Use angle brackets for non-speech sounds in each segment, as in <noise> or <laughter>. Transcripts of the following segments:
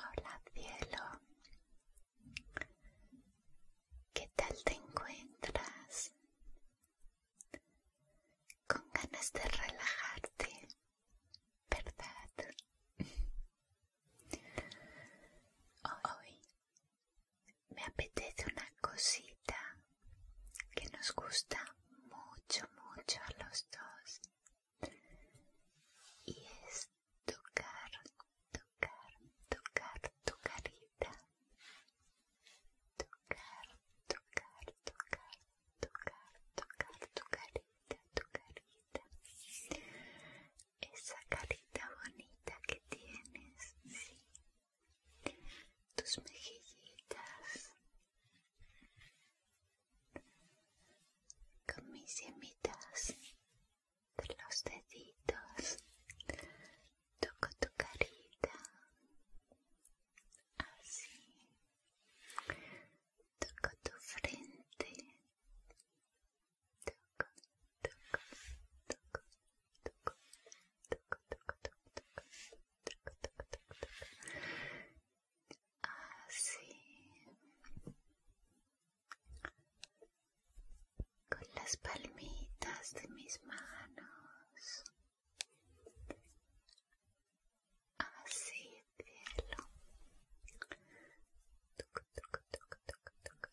Hola cielo, ¿qué tal te encuentras? Con ganas de relajarte, ¿verdad? <laughs> me apetece una cosita que nos gusta mucho, mucho a los dos. Y es tocar, tocar, tocar tu carita. Tocar, tocar, tocar, tocar, tocar tu carita, tu carita esa carita bonita que tienes, Tus mejillitas. Con mis yemitas de los deditos. Toco tu carita. Así. Toco tu frente. Así. Con las palmitas de mis manos. Así, cielo.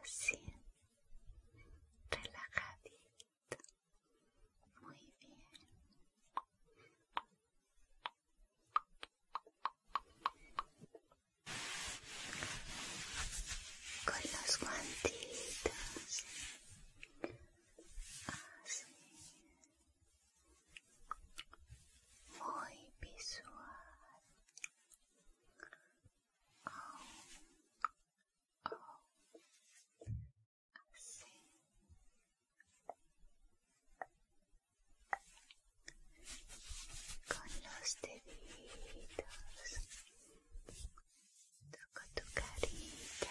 Así, relajadito, muy bien. Con los guantitos, así muy visual. Oh, Así. Con los deditos toco tu carita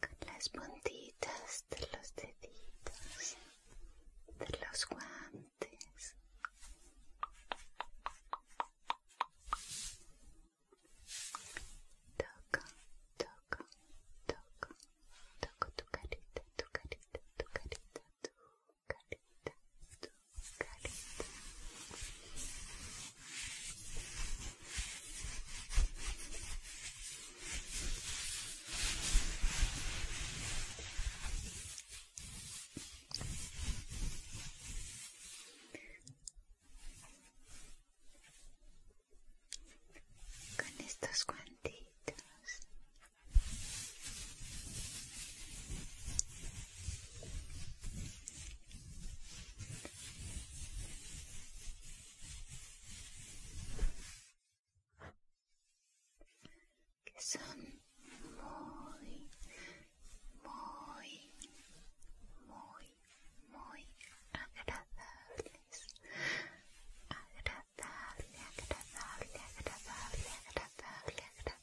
con las puntitas de los deditos, de los guantes. Toco, toco, toco, toco tu carita, tu carita, tu carita, tu carita, tu carita. Con estos cuantitos que son muy, muy, muy, muy agradables, agradable, agradable, agradable, agradable, agradable.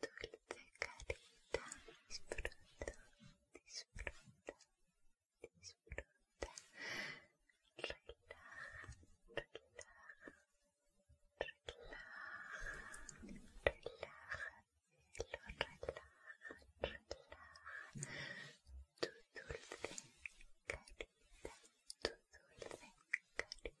dulce carita, disfruta, disfruta, disfruta, relaja, relaja, relaja, relaja, relaja, relaja tu dulce carita, tu dulce carita,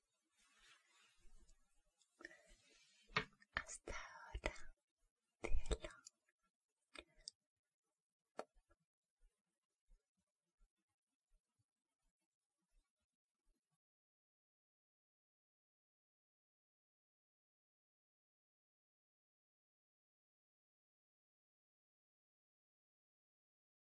Hasta ahora, cielo.